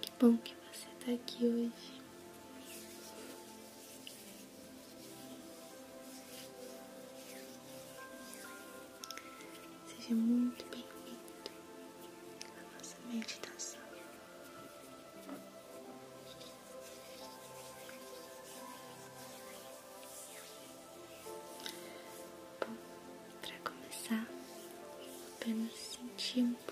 Que bom que você está aqui hoje. Seja muito bem-vindo à nossa meditação. Bom, para começar, apenas sentir um pouco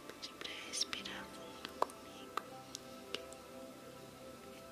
Pode respirar fundo comigo.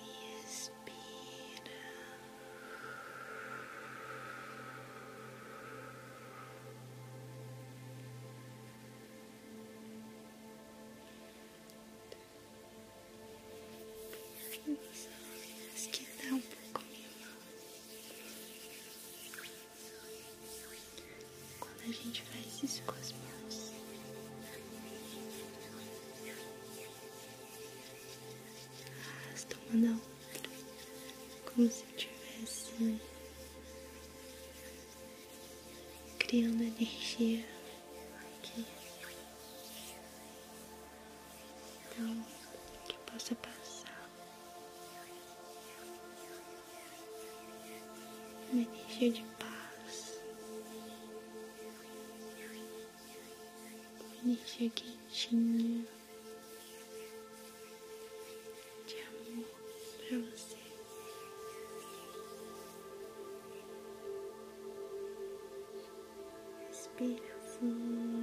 e expira. As um pouco melhor quando a gente faz isso com as mãos. Arrasta uma como se estivesse criando energia aqui. Então, que possa passar uma energia de paz. Deixa quentinha de amor pra você. Respira fundo.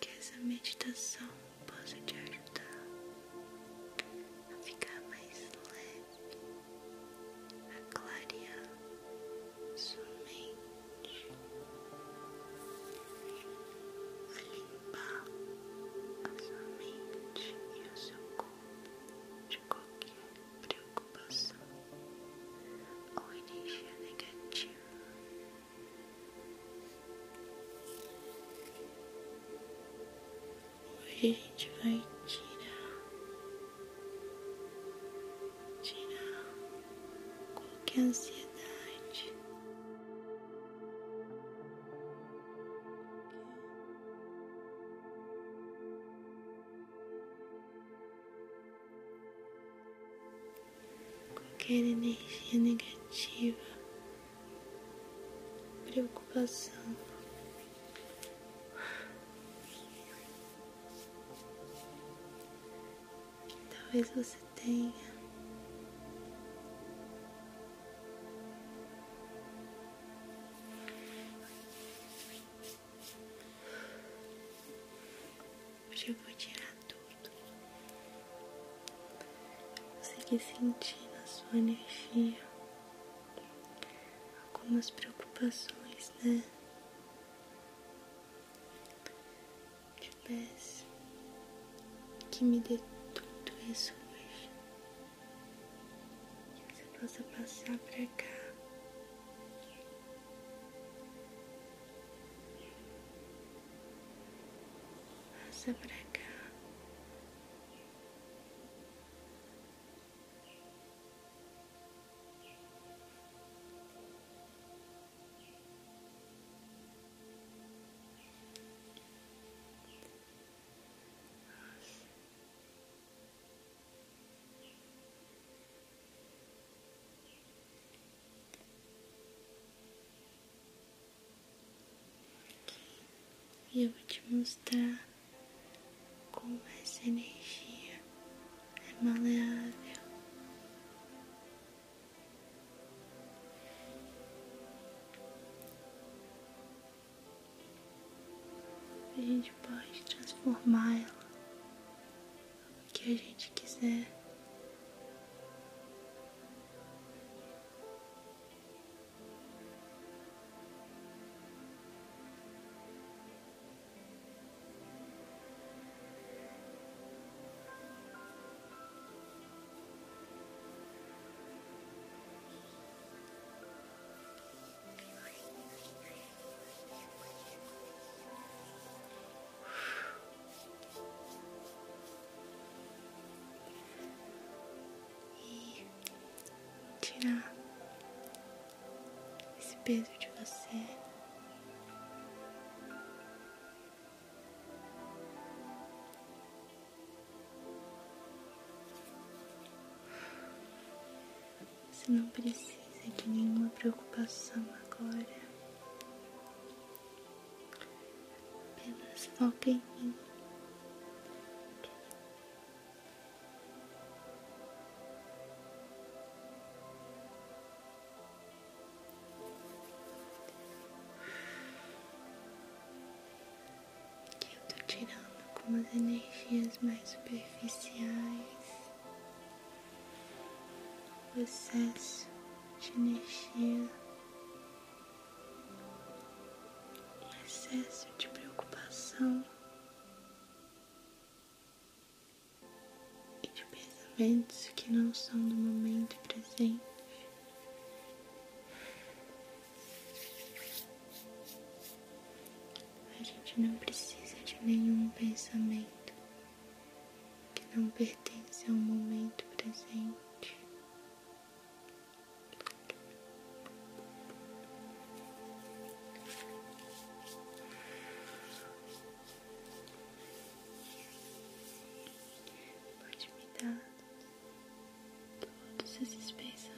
Que essa meditação possa te ajudar a ficar mais leve, a clarear sua mente, a limpar a sua mente e o seu corpo de qualquer preocupação ou energia negativa. Hoje a gente vai tirar, tirar qualquer ansiedade. Qualquer energia negativa, preocupação. Talvez você tenha. Hoje eu vou tirar tudo. quer sentir na sua energia algumas preocupações, né? Te peço que me dê tudo isso hoje que você possa passar para cá. Passa para cá. E eu vou te mostrar como essa energia é maleável. A gente pode transformá-la o que a gente quiser. E tirar esse peso de você. Você não precisa de nenhuma preocupação agora. Apenas foca em mim que eu estou tirando com as energias mais superficiais, o excesso de energia, o excesso de preocupação e de pensamentos que não são do momento presente. A gente não precisa de nenhum pensamento que não pertence ao momento presente. Pode me dar todos esses pensamentos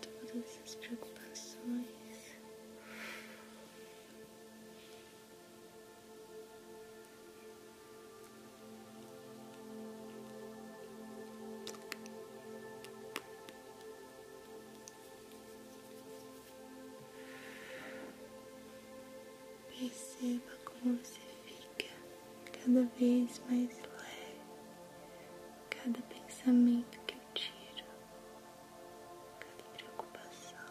todas as preocupações. Perceba como você fica cada vez mais leve, cada pensamento que eu tiro, cada preocupação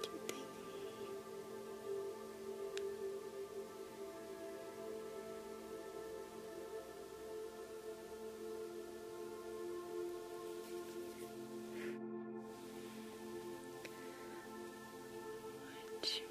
que tem aí. Ótimo. Muito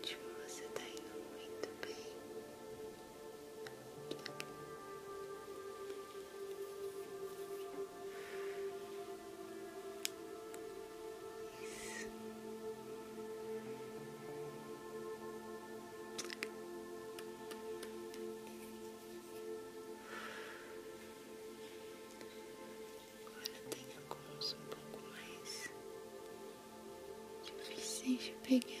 Ótimo, você tá indo muito bem. Isso. Agora tem alguns um pouco mais difíceis de pegar.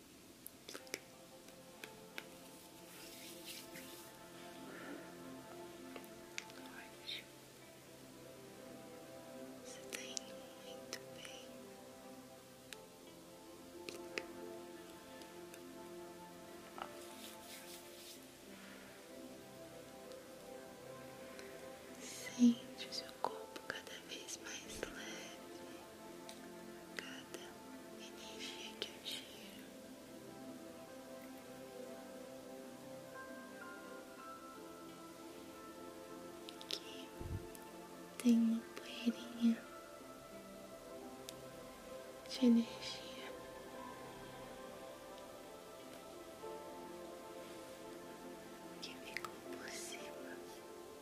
Ótimo. Você tá indo muito tá bem. Sente o seu corpo cada vez mais leve cada energia que eu tiro. Aqui tem uma poeirinha de energia. que ficou por cima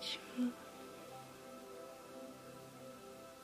Ótimo.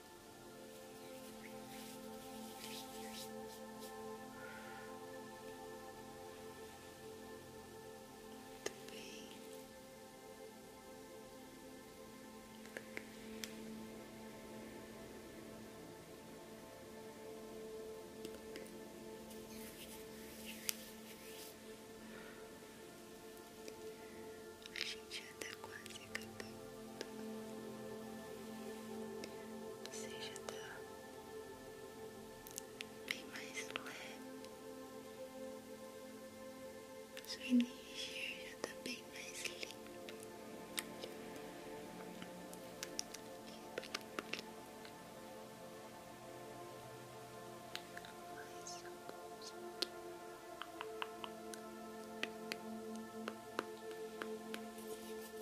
Muito bem. A gente já tá quase seja bem mais leve. Sua energia já está bem mais limpa.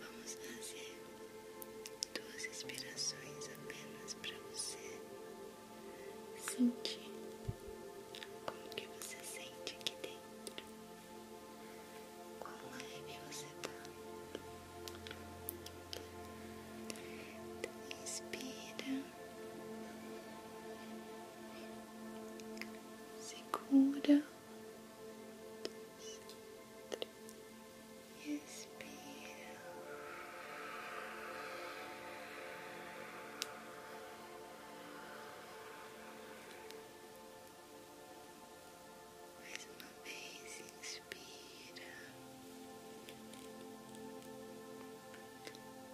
Vamos fazer duas inspirações apenas para você sentir como que você sente aqui dentro, quão leve é você tá. Então, inspira segura, dois, três, Mais uma vez, inspira,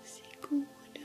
segura.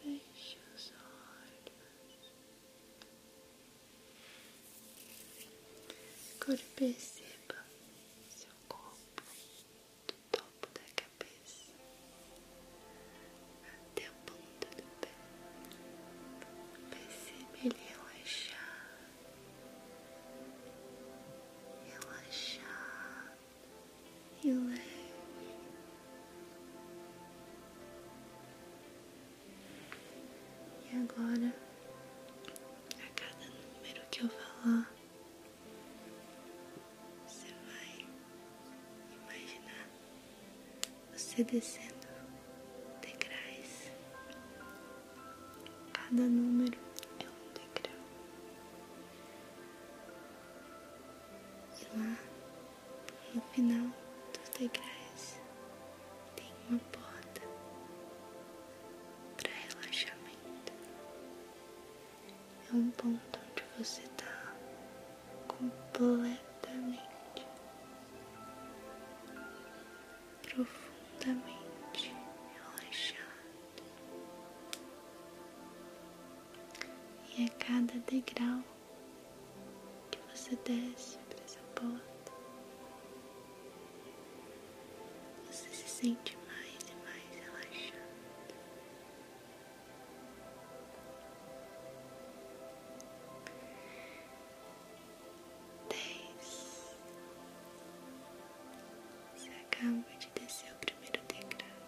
Feche os olhos. Agora perceba seu corpo do topo da cabeça até a ponta do pé. Pense ele relaxar, relaxar. Relaxa. É. E agora, a cada número que eu falar, você vai imaginar você descendo degraus. Cada número é um degrau. E lá, no final dos degraus, tem uma porta para relaxamento. É um ponto onde você está completamente, profundamente relaxado. E a cada degrau que você desce para essa porta, você se sente mais e mais relaxado. Dez. Você acaba de descer o primeiro degrau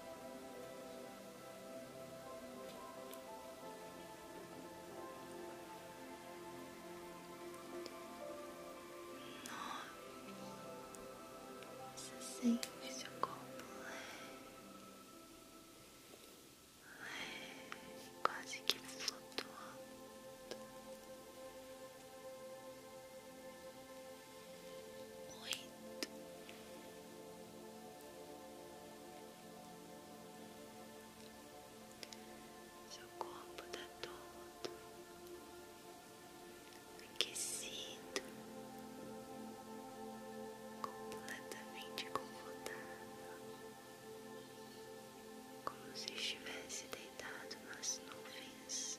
nove, você sente seu corpo leve, quase que flutuando oito, seu corpo está todo aquecido, completamente confortável, como se estivesse deitado nas nuvens.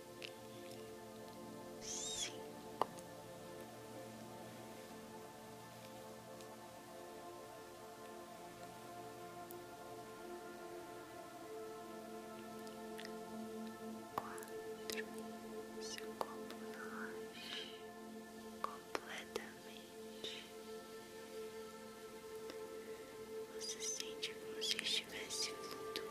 cinco, quatro, seu corpo relaxe completamente. Você sente como se estivesse flutuando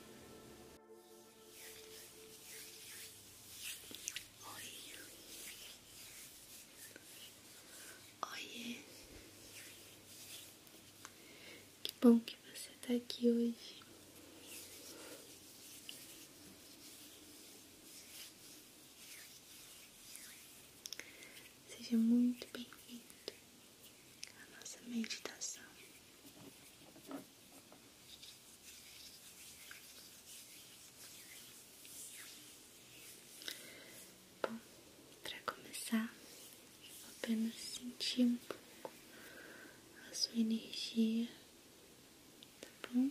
Oi. olhe! Que bom que você está aqui hoje. Seja muito bem-vindo a nossa meditação. Bom, para começar, apenas sentir um pouco a sua energia, tá bom?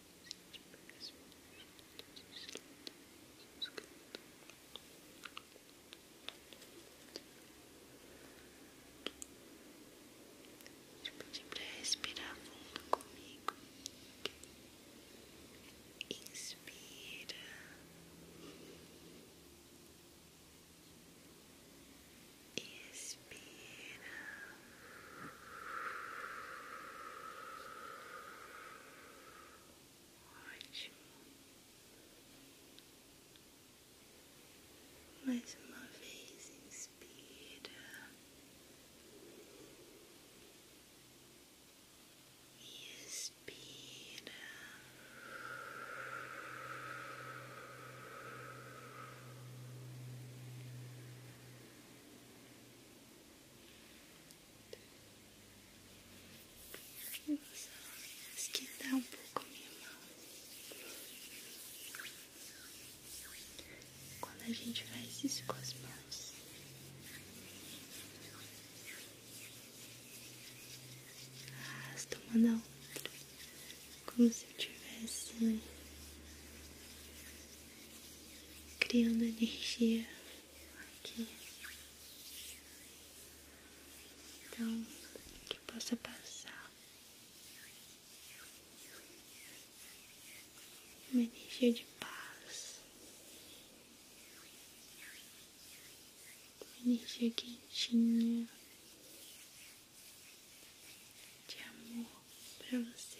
Vou pedir para respirar fundo comigo. Inspira. Expira. Mais uma vez, inspira e expira. Eu um pouco minha mão. Quando a gente faz isso com as mãos, arrasta uma na como se eu tivesse né? criando energia aqui. Então, que possa passar uma energia de paz, uma energia quentinha de amor para você.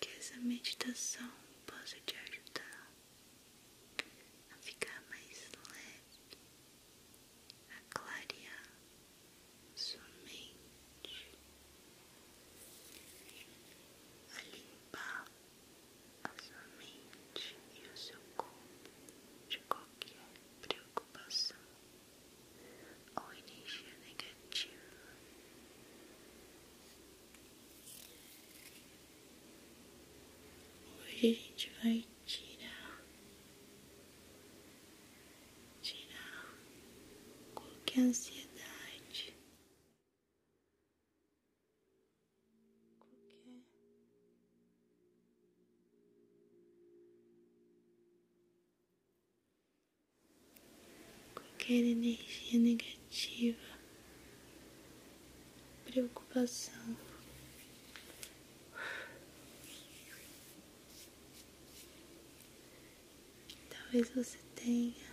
Que essa meditação possa te ajudar a ficar mais leve, a clarear sua mente, a limpar a sua mente e o seu corpo de qualquer preocupação ou energia negativa. Hoje a gente vai tirar, tirar qualquer ansiedade, qualquer energia negativa preocupação. Talvez você tenha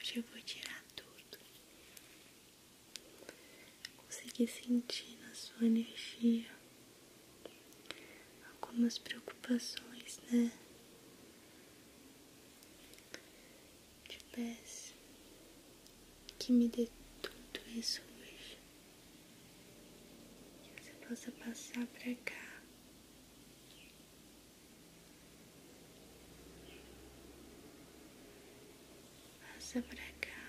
Hoje eu vou tirar tudo conseguir sentir na sua energia algumas preocupações, né? Te peço que me dê tudo isso hoje, que você possa passar pra cá. passa pra cá,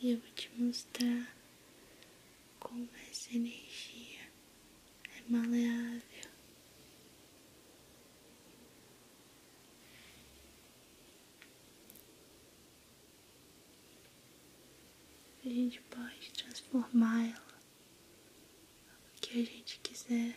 E eu vou te mostrar como essa energia é maleável. A gente pode transformá-la o que a gente quiser.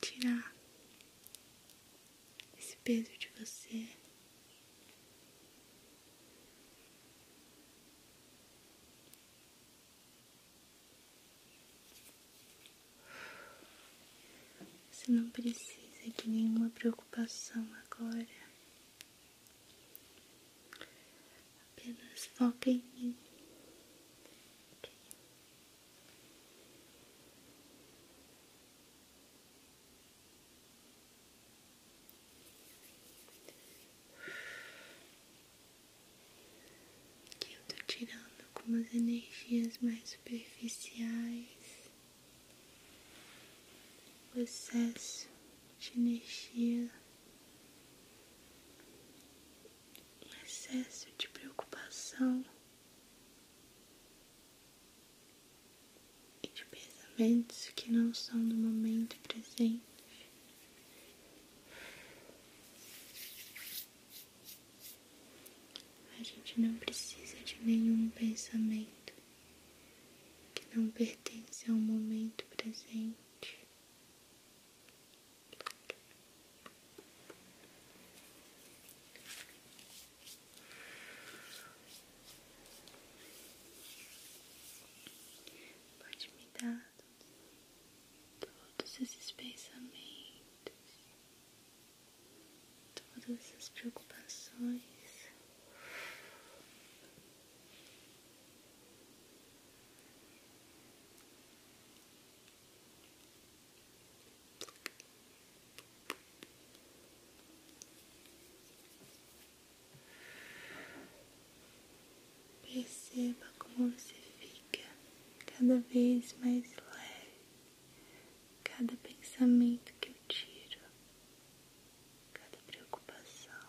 tirar esse peso de você. Você não precisa de nenhuma preocupação agora. Apenas foca em mim. Aqui eu tô tirando algumas energias mais superficiais, o excesso de energia um excesso de preocupação e de pensamentos que não são do momento presente. A gente não precisa de nenhum pensamento que não pertence ao momento presente. Pode me dar todos esses pensamentos, todas essas preocupações. Perceba como você fica cada vez mais leve, cada pensamento que eu tiro, cada preocupação,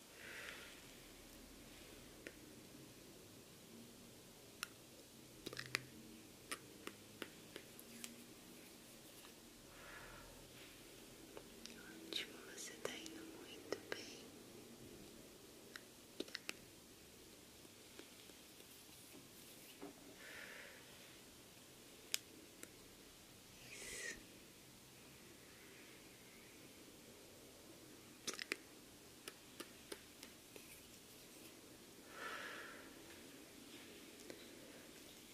Ótimo, você está indo muito bem.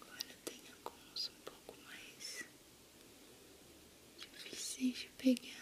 Agora tem alguns um pouco mais difíceis de pegar.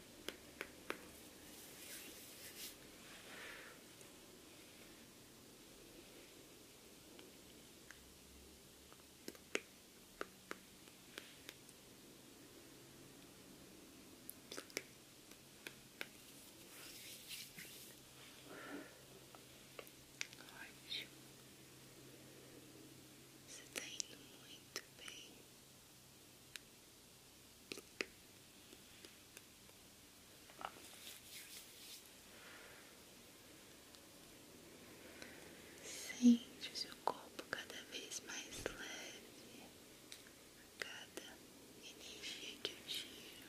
Ótimo, você está indo muito bem. Sente o seu corpo cada vez mais leve a cada energia que eu tiro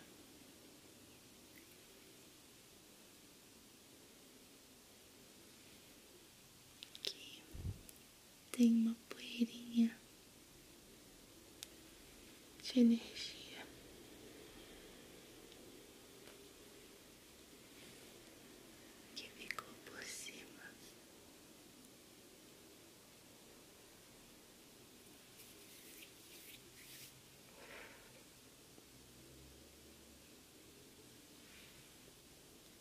tem uma poeirinha de energia. que ficou por cima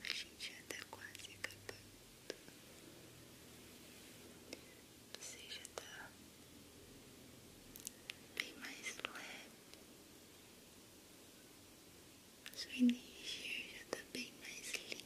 A gente já tá quase acabando. Você já tá bem mais leve. Sua energia já tá bem mais limpa.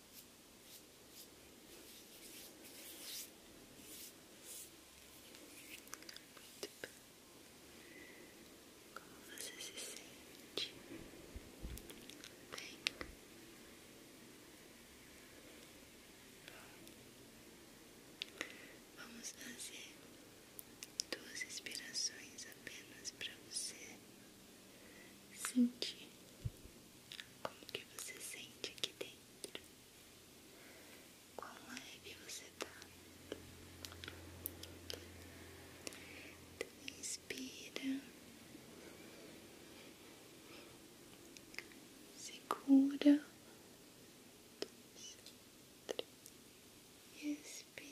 como você se sente? Bem. Vamos fazer duas respirações apenas para você sentir como que você sente aqui dentro? Quão que você está? Então, inspira. Segura. Expira.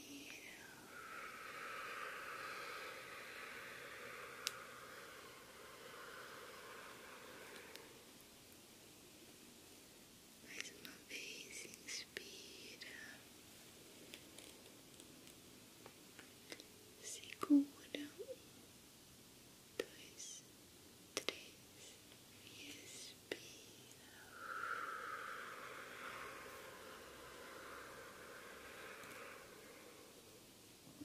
Mais uma vez, inspira, segura, um, dois, três, e expira.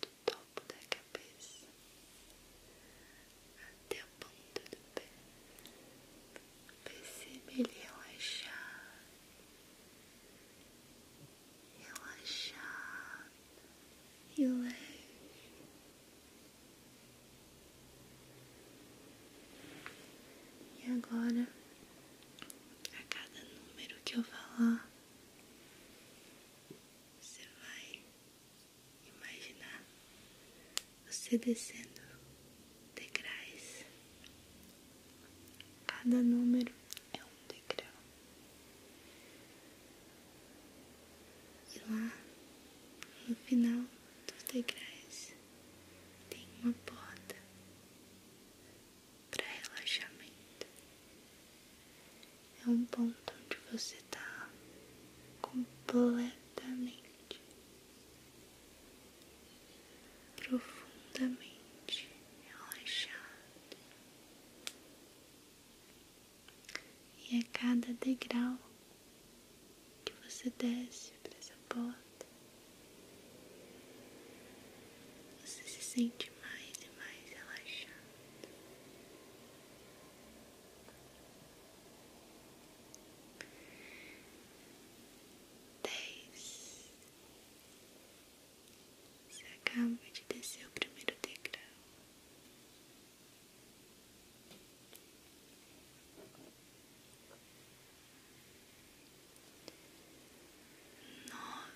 do topo da cabeça até a ponta do pé. Perceba ele relaxar, relaxar e leve. E agora, a cada número que eu falar, você vai imaginar você descendo degraus. Cada número é um degrau. E lá no final dos degraus tem uma porta para relaxamento é um ponto onde você está completamente, profundamente relaxado. E a cada degrau que você desce para essa porta, você se sente mais e mais relaxado. Dez. Você acaba de descer o primeiro degrau. Nove.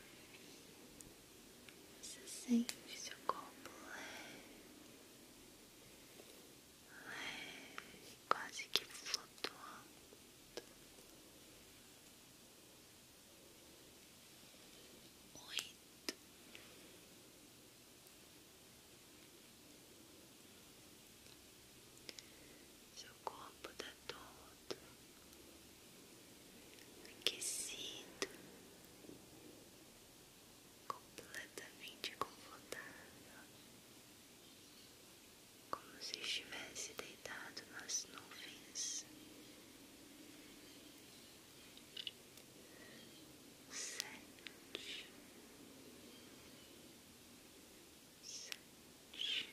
Você sente seu corpo leve, quase que flutuando. Oito. Seu corpo está todo aquecido, completamente confortável, como se estivesse deitado nas nuvens. Sete, sete,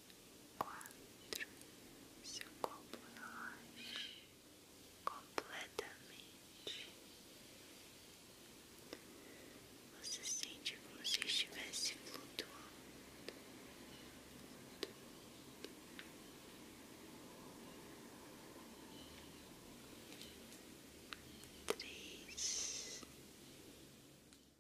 quatro, seu corpo relaxe completamente. Você sente como se estivesse flutuando. Três.